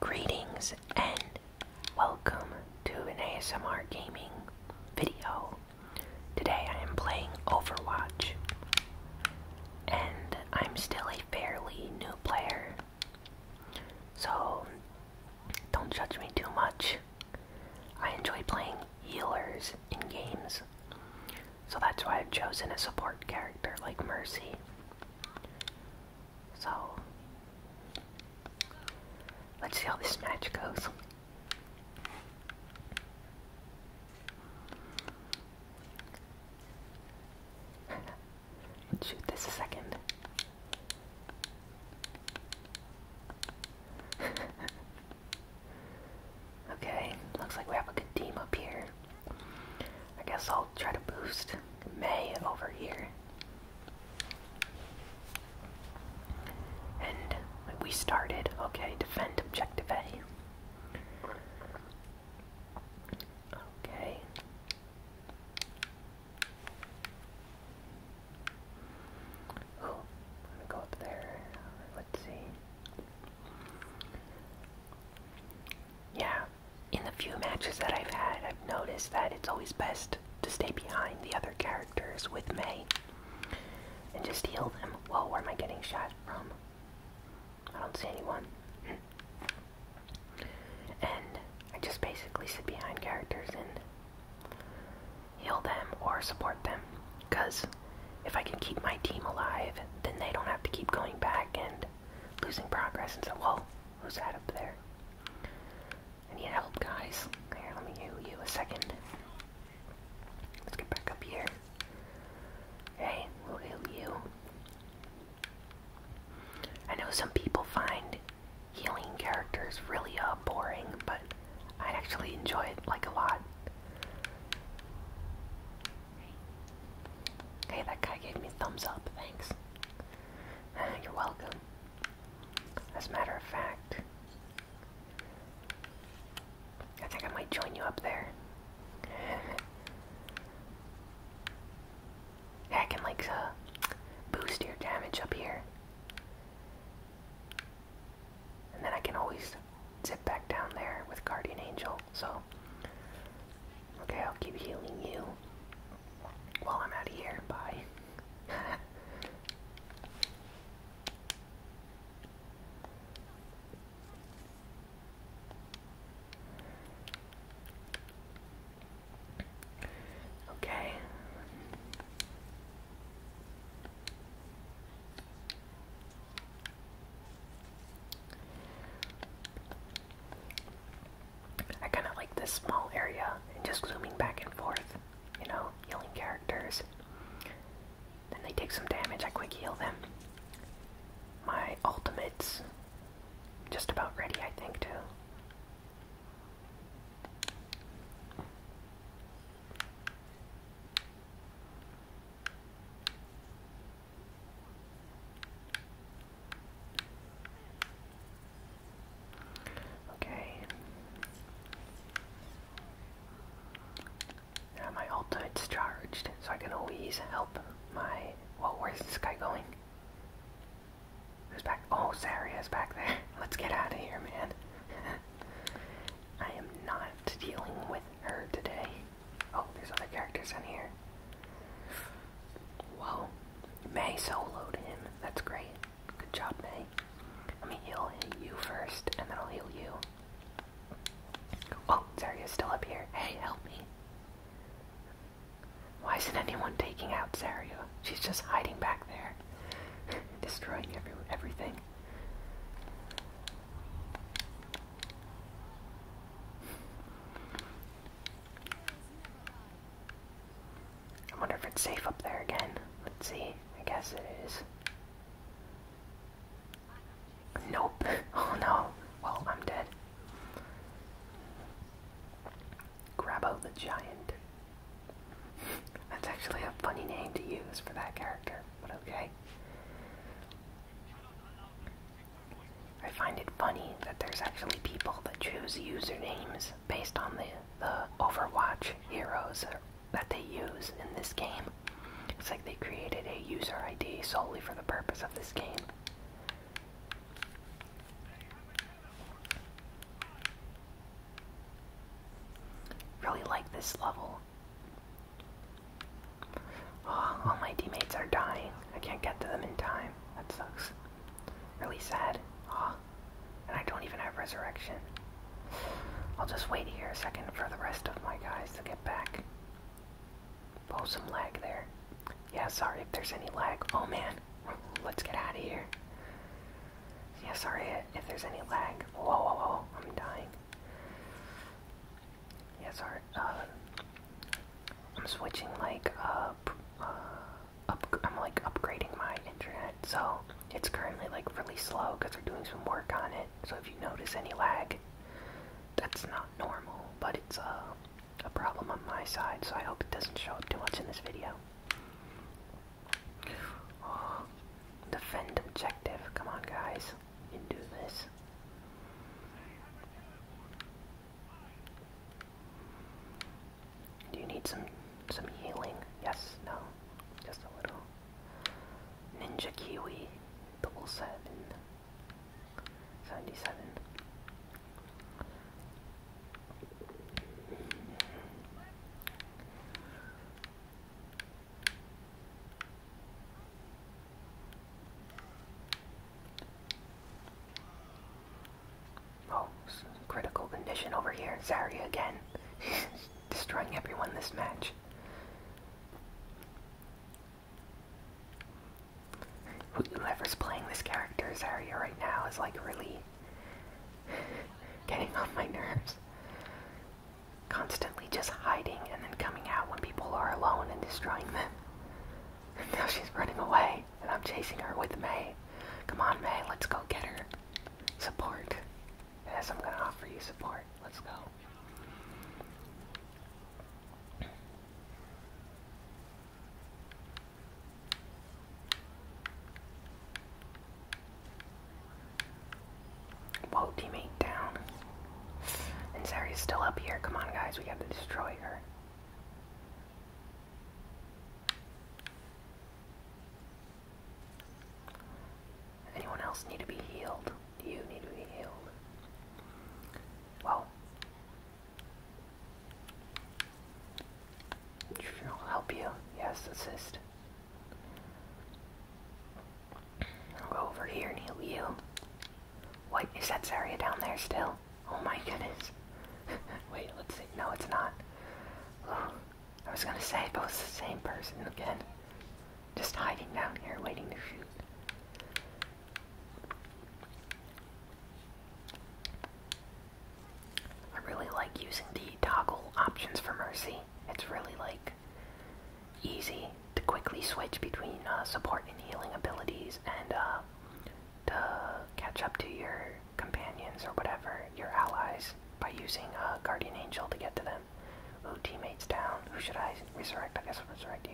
Greetings and welcome to an ASMR gaming video. Today I am playing Overwatch and I'm still a fairly new player. So don't judge me too much. I enjoy playing healers in games. So that's why I've chosen a support character like Mercy. So, let's see how this match goes. shoot this a second. okay, looks like we have a good team up here. I guess I'll try to boost May over here. And we started, okay, defend objective A. Okay. Oh, I'm go up there. Let's see. Yeah, in the few matches that I've had, I've noticed that it's always best to stay behind the other characters with May and just heal them. Whoa, where am I getting shot from? I don't see anyone. and I just basically sit behind characters and heal them or support them. Because if I can keep my team alive, then they don't have to keep going back and losing progress and so, whoa, who's that up there? I need help, guys. Here, let me heal you a second. Let's get back up here. Okay, we'll heal you. I know some people find healing characters really uh, boring, but I actually enjoy it like a lot. Hey, that guy gave me thumbs up, thanks. You're welcome. As a matter of fact, I think I might join you up there. I can like uh, boost your damage up here. And then I can always zip back down there with Guardian Angel. So, okay, I'll keep healing you while I'm out of here. Bye. okay. I kind of like this small area and just zooming back and forth, you know, healing characters. Then they take some damage, I quick heal them. My ultimate's just about ready, I think, too. Okay. my ultimate's charged, so I can always help my... Well, where's this guy going? Who's back? Oh, Zarya's back there. Let's get out of here, man. I am not dealing with her today. Oh, there's other characters in here. Whoa. May soloed him. That's great. Good job, May. Let me heal you first, and then I'll heal you. Oh, Zarya's still up here. Hey, help me. Why isn't anyone taking out Zarya? She's just hiding back there. Destroying every everything. I wonder if it's safe up there again. Let's see. I guess it is. Nope. Oh no. Well, I'm dead. Grabbo the Giant. That's actually a funny name to use for that character, but okay. I find it funny that there's actually people that choose usernames based on the, the Overwatch heroes that they use in this game. It's like they created a user ID solely for the purpose of this game. Really like this level. Oh, all my teammates are dying. I can't get to them in time. That sucks. Really sad. Aw. And I don't even have resurrection. I'll just wait here a second for the rest of my guys to get back. Oh, some lag there. Yeah, sorry if there's any lag. Oh man, let's get out of here. Yeah, sorry if there's any lag. Whoa, whoa, whoa, I'm dying. Yes, sorry. Uh, I'm switching like uh, up, I'm like upgrading my internet, so it's currently like really slow because they are doing some work on it. So if you notice any lag, that's not normal, but it's uh, a problem on my side. So I hope it doesn't show up too much in this video. Oh, defend objective. Come on, guys, you can do this. Do you need some some healing? Yes, no, just a little. Ninja Kiwi, double seven, seventy-seven. Oh, critical condition over here. Zarya again. Destroying everyone this match. Whoever's playing this character, Zarya, right now is like really getting on my nerves. Constantly just hiding and then coming out when people are alone and destroying them. now she's running away, and I'm chasing her with May. Come on, May, let's go get her. Support. Yes, I'm gonna offer you support. Let's go. Whoa, teammate down. And Sari's still up here. Come on, guys, we gotta destroy her. Anyone else need to be healed? You need to be healed. Well, I'll help you. Yes, assist. I'll go over here and heal you. Wait, is that Zarya down there still? Oh my goodness. Wait, let's see. No, it's not. I was gonna say, but it's the same person again. Just hiding down here, waiting to shoot. I really like using the toggle options for Mercy. It's really like easy to quickly switch between uh, support and healing abilities and uh, to catch up to your companions or whatever, your allies, by using a uh, Guardian Angel to get to them. Ooh, teammates down. Who should I resurrect? I guess I'll resurrect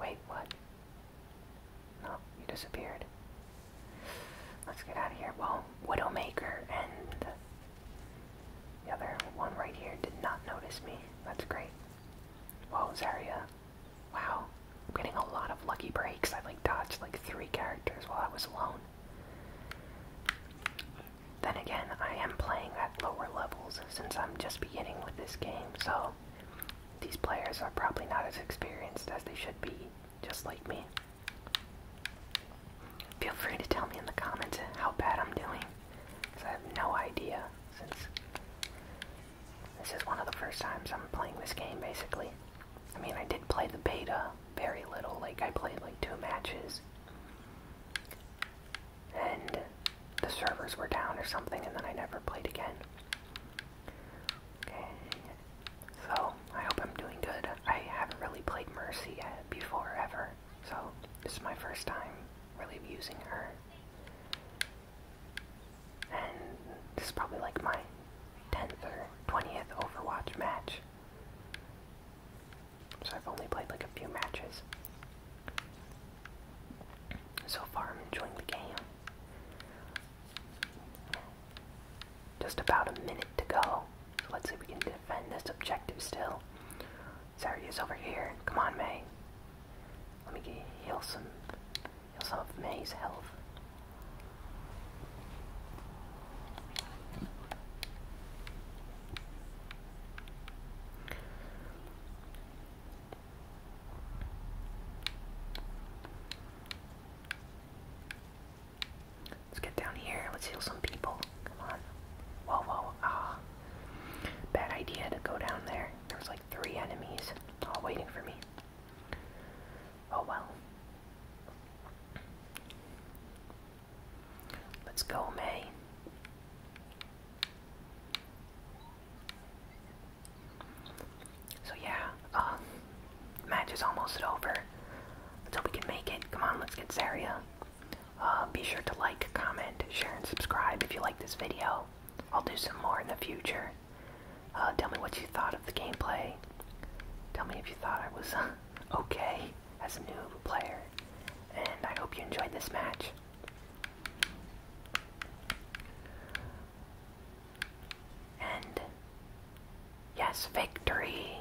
Wait, what? No, you disappeared. Let's get out of here. Well, Widowmaker and the other one right here did not notice me. That's great. Whoa, Zaria! Wow. I'm getting a lot of lucky breaks. I like dodged like three characters while I was alone. Then again, I am playing at lower levels since I'm just beginning with this game, so these players are probably not as experienced as they should be, just like me. Feel free to tell me in the comments how bad I'm doing. So I have no idea since this is one of the first times I'm playing this game basically. I mean, I did play the beta very little, like I played like two matches. And the servers were down or something, and then I never played again. Okay, so I hope I'm doing good. I haven't really played Mercy uh, before ever, so this is my first time really using her. And this is probably like my 10th or 20th Overwatch match. So I've only played like a few matches. So far I'm enjoying the game. Just about a minute to go. So let's see if we can defend this objective still. Zarya's over here. Come on, May. Let me heal some, heal some of May's health. Let's get down here. Let's heal some people. Come on. Whoa, whoa. Ah. Bad idea to go down there. There was like three enemies all waiting for me. Oh well. Let's go, May. So yeah, uh, match is almost over. Let's hope we can make it. Come on, let's get Zarya. Um, be sure to like, comment, share, and subscribe if you like this video. I'll do some more in the future. Uh, tell me what you thought of the gameplay. Tell me if you thought I was uh, okay as a new player. And I hope you enjoyed this match. And yes, victory!